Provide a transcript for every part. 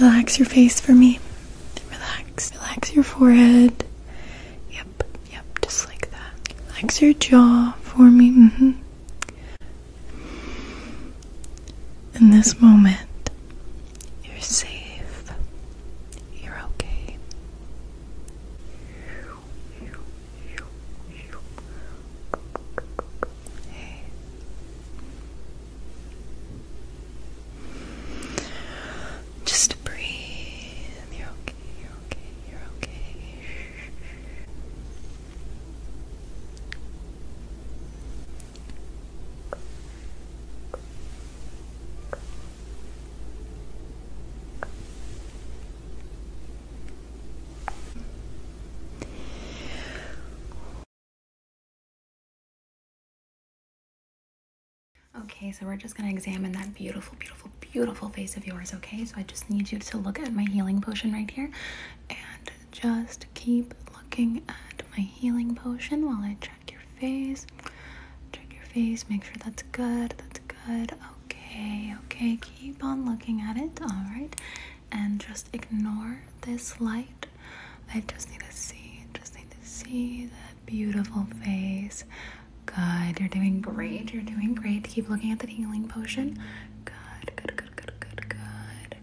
Relax your face for me. Relax. Relax your forehead. Yep, yep, just like that. Relax your jaw for me. Mm-hmm. In this moment, you're safe. You're okay. Hey. Just breathe. You're okay. You're okay. You're okay. Okay, so we're just gonna examine that beautiful, beautiful, beautiful face of yours, okay? So I just need you to look at my healing potion right here and just keep looking at my healing potion while I check your face. Check your face, make sure that's good, that's good. Okay, okay, keep on looking at it, alright? And just ignore this light. I just need to see, just need to see that beautiful face. Good, you're doing great, you're doing great. Keep looking at the healing potion. Good, good, good, good, good, good.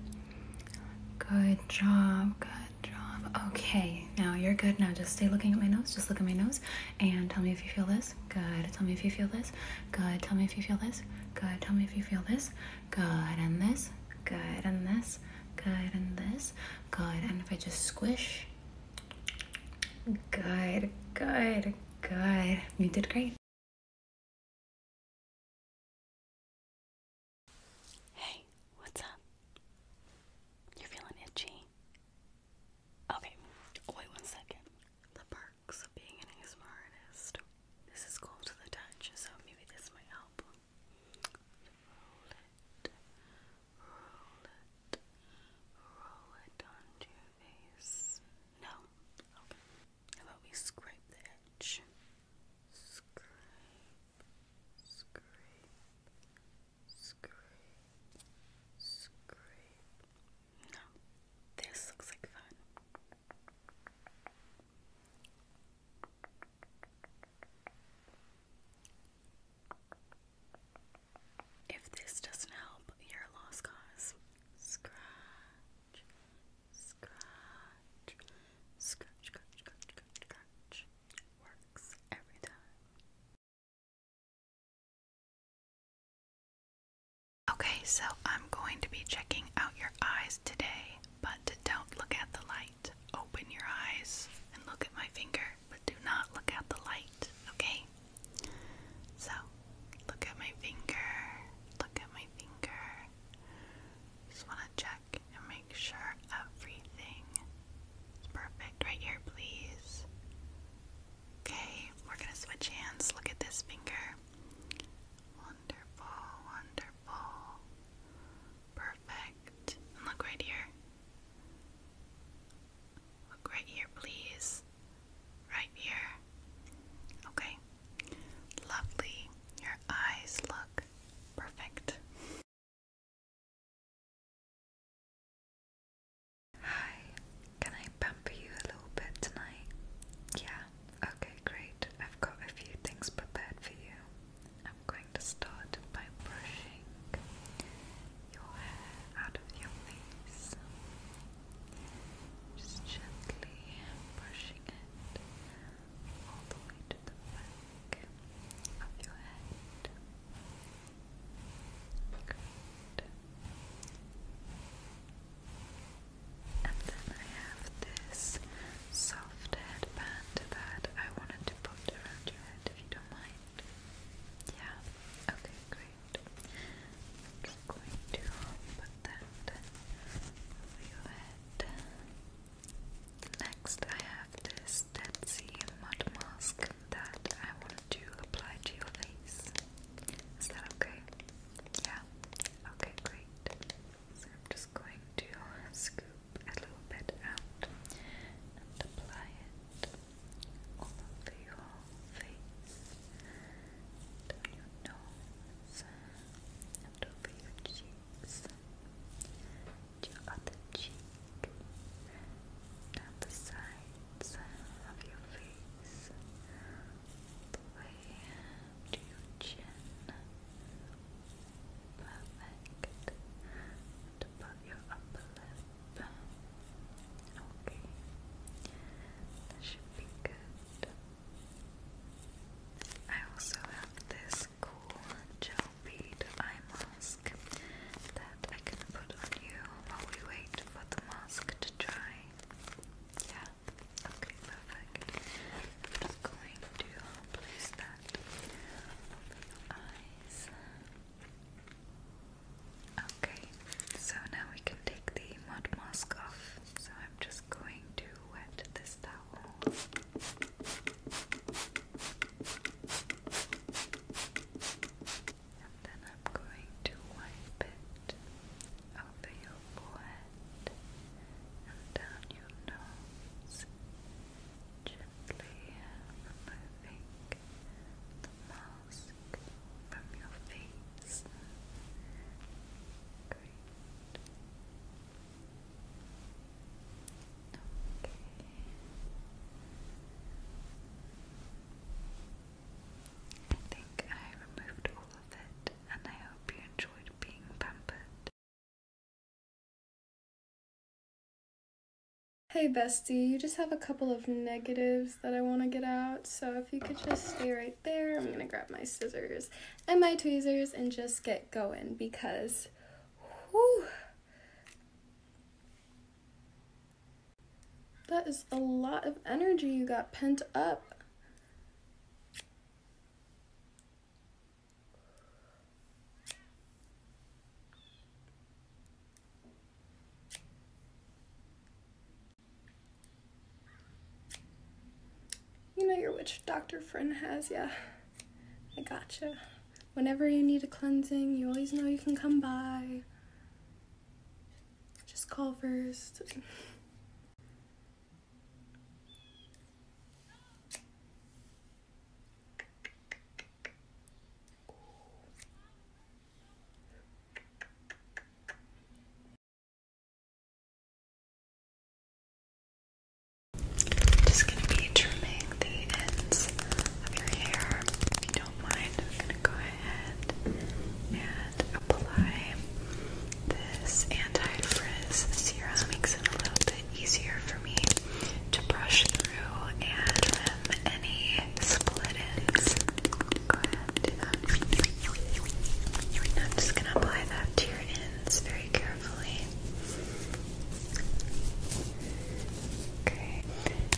Good job, good job. Okay, Okay, now you're good. Now just stay looking at my nose. Just look at my nose and tell me if you feel this. Good. Tell me if you feel this. Good. Tell me if you feel this. Good. Tell me if you feel this. Good. And this. Good. And this. Good. And this. Good. And if I just squish. Good. Good. Good. You did great. Hey, what's up? You're feeling itchy. Okay, wait one second. The perks of being an ASMR artist. This is cold to the touch, so maybe this might help. Roll it, roll it, roll it onto your face. No? Okay. How about we scrape the edge? Scrape, scrape, no, this looks like fun. If this doesn't help, you're lost cause. Scratch, scratch, scratch, scratch, scratch, scratch. Works every time. Okay, so I'm going to be checking out your eyes today, but don't look at the light. Open your eyes and look at my finger, but do not look at the light, okay? So, look at my finger, look at my finger. Just want to check and make sure everything is perfect. Right here, please. Okay, we're gonna switch hands. Look at this finger. Wonderful, wonderful. Perfect. look right here. Look right here, please. Right here. Okay. Lovely. Your eyes look perfect. Hi, can I pamper you a little bit tonight? Yeah, okay, great. I've got a few things prepared for you. I'm going to start by brushing your hair out of your face. Just gently brushing it all the way to the back of your head. Great. And then I have this soft headband that I wanted to put around your head if you don't mind. Yeah, okay, great. just going to put that over your head. Next, I have this Stetsy mud mask that I want to apply to your face. okay? Yeah? Okay, great. So I'm just going to scoop a little bit out and apply it all over your face, down your nose, and over your cheeks your other cheek, down the sides of your face, the way to your chin, perfect, and above your upper lip. Okay, that should be good. I also have this cool gel bead eye mask that I can put on you while we wait for the mask to dry. Yeah. Okay, perfect. I'm going to place that over your eyes. Okay, so now we can take the mud mask off. So I'm just going to wet this is that And then I'm going to wipe it over your forehead and down your nose, gently removing the mask from your face. Great. I think I removed all of it, and I hope you enjoyed being pampered. Hey, bestie, you just have a couple of negatives that I want to get out, so if you could just stay right there, I'm gonna grab my scissors and my tweezers and just get going because Whew. That is a lot of energy you got pent up. You know your witch doctor friend has, yeah. I gotcha. Whenever you need a cleansing, you always know you can come by. Just call first. Just gonna be trimming the ends of your hair. If you don't mind, I'm gonna go ahead and apply this anti-frizz serum. Makes it a little bit easier for me to brush through and trim any split ends. Go ahead I'm just gonna apply that to your ends very carefully easily. Okay,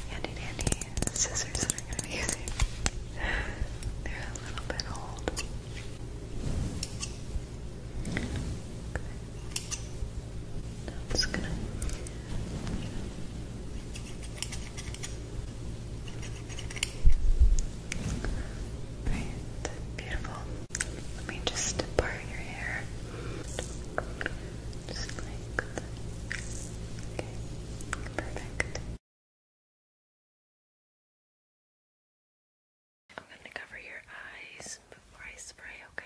handy dandy scissors that I'm going to be They're a little bit old. Okay. just gonna Right, beautiful. Let me just part your hair. Just like Okay, perfect. I'm gonna cover your eyes before I spray, Okay.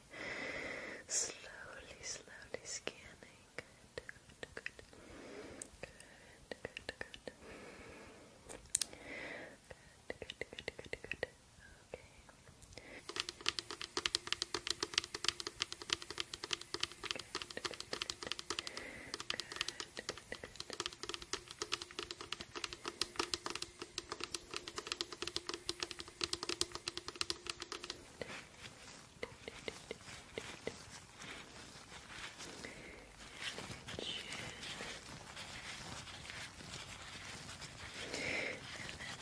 Slowly, slowly scanning. Good, good, good. Good, good, good. Good, good, good, good, good. Okay. Good, good, good. Good, good, good. And then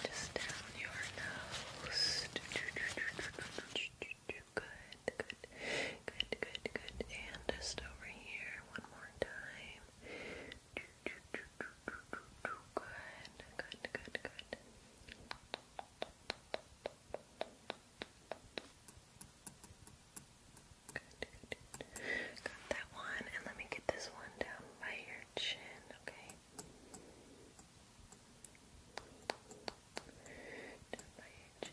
just down your nose. Good, good, good, good, good. And just over here one more time good, good, good. Good, Got that one, and let me get this one down by your chin, okay? Down by your chin.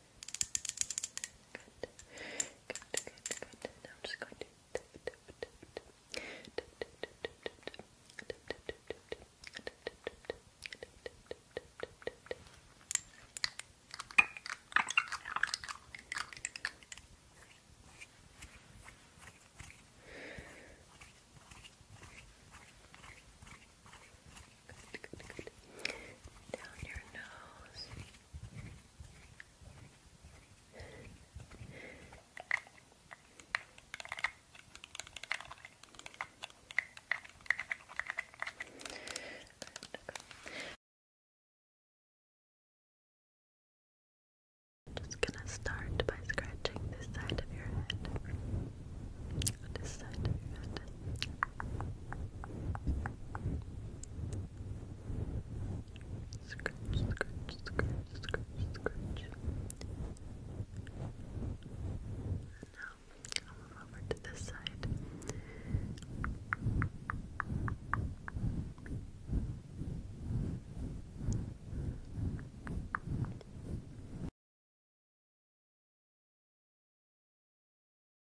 Good. Good, good, good. Now I'm just going to tip, tip, tip, tip. Tip, tip, tip, tip, tip, tip. Tip, tip, tip, tip, tip. Tip, tip, tip, tip. Tip, tip, tip, tip, tip, tip, tip. Good. Down your nose. I'm just gonna start by scratching this side of your head this side of your head. Scratch, scratch, scratch, And now I'll move over to this side.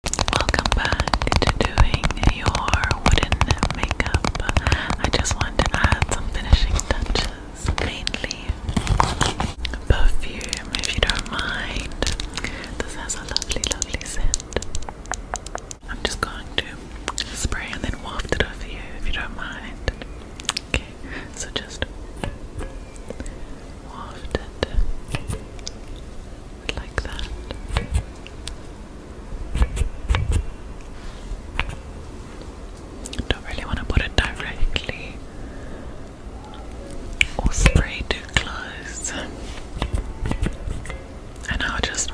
Welcome back to doing your wooden makeup. I just want to add some finishing touches, mainly perfume, if you don't mind. This has a lovely, lovely scent. I'm just going to spray and then waft it over you, if you don't mind. Okay, so just wafted like that. Don't really want to put it directly or spray too close. And I'll just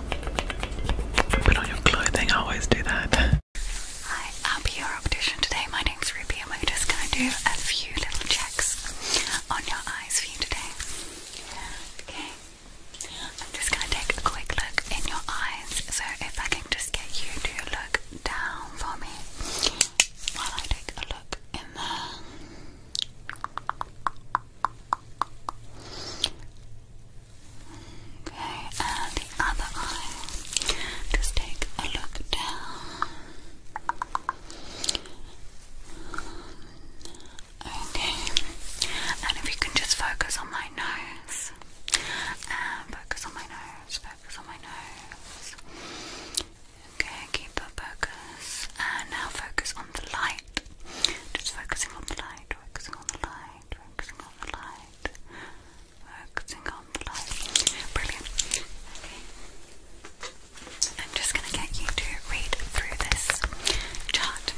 put on your clothing. I always do that. Hi, I'm your optician today. My morning, 3 pm, I'm just going to do a few little checks on your eyes for you today. Okay, I'm just going to take a quick look in your eyes. So, if I can just get you to look down for me while I take a look in there. Okay, and the other eye. Just take a look down. Okay, and if you can just focus on my nose, and um, focus on my nose, focus on my nose. Okay, keep that focus, and now focus on the light. Just focusing on the light, focusing on the light, focusing on the light focusing on Brilliant. I'm just going to get you to read through this chart.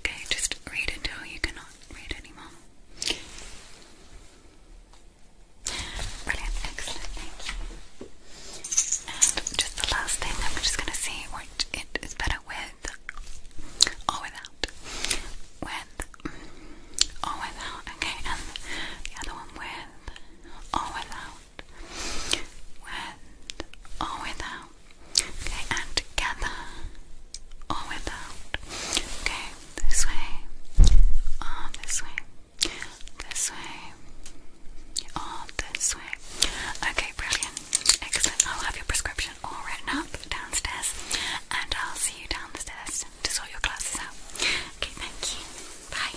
Okay, just read until you cannot read anymore. Brilliant, excellent, And just the last thing, I'm just going to see what it is better with with without. With or without. Okay, and the other one with or without. With or without. Okay, and together or without. Okay, this way or this way. This way or this way. Okay, brilliant. Excellent. I'll have your prescription all written up downstairs, and I'll see you downstairs to sort your glasses out. Okay, thank you. Bye.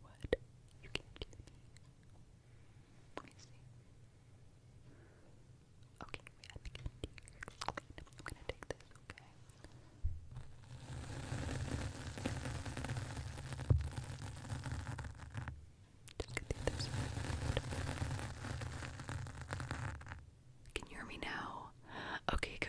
What? You can't hear me. okay? Can you hear me now? Okay, good.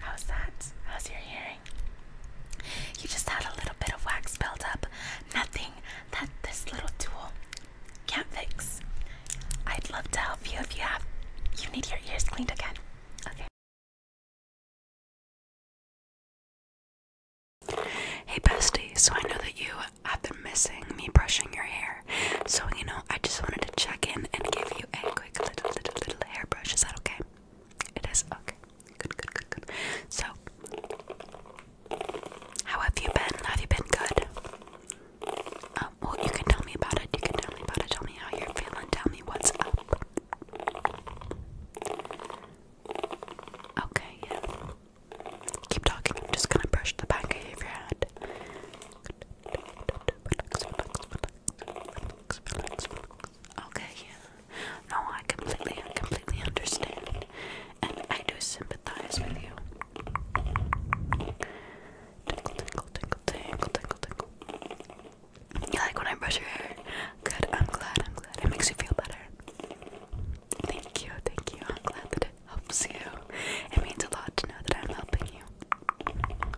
How's that? How's your hearing? You just had a little bit of wax build up. Nothing that this little tool can't fix. I'd love to help you if you have you need your ears cleaned again. Okay. Hey bestie, so I know that you have been missing me brushing your hair. So, you know, I just wanted to check in and give you a quick little, little, little hairbrush. Is that okay? It is okay. Good, good, good, good. So, how have you been? Have you been good? Um, well, you can tell me about it. You can tell me about it. Tell me how you're feeling. Tell me what's up. Okay, yeah. Keep talking. I'm just gonna brush the back of your head. Okay, yeah. No, I completely, completely understand, and I do sympathize with you. Tinkle, tinkle, tinkle, tinkle, tinkle, tinkle. You like when I brush your hair? Good, I'm glad, I'm glad. It makes you feel better. Thank you, thank you. I'm glad that it helps you. It means a lot to know that I'm helping you.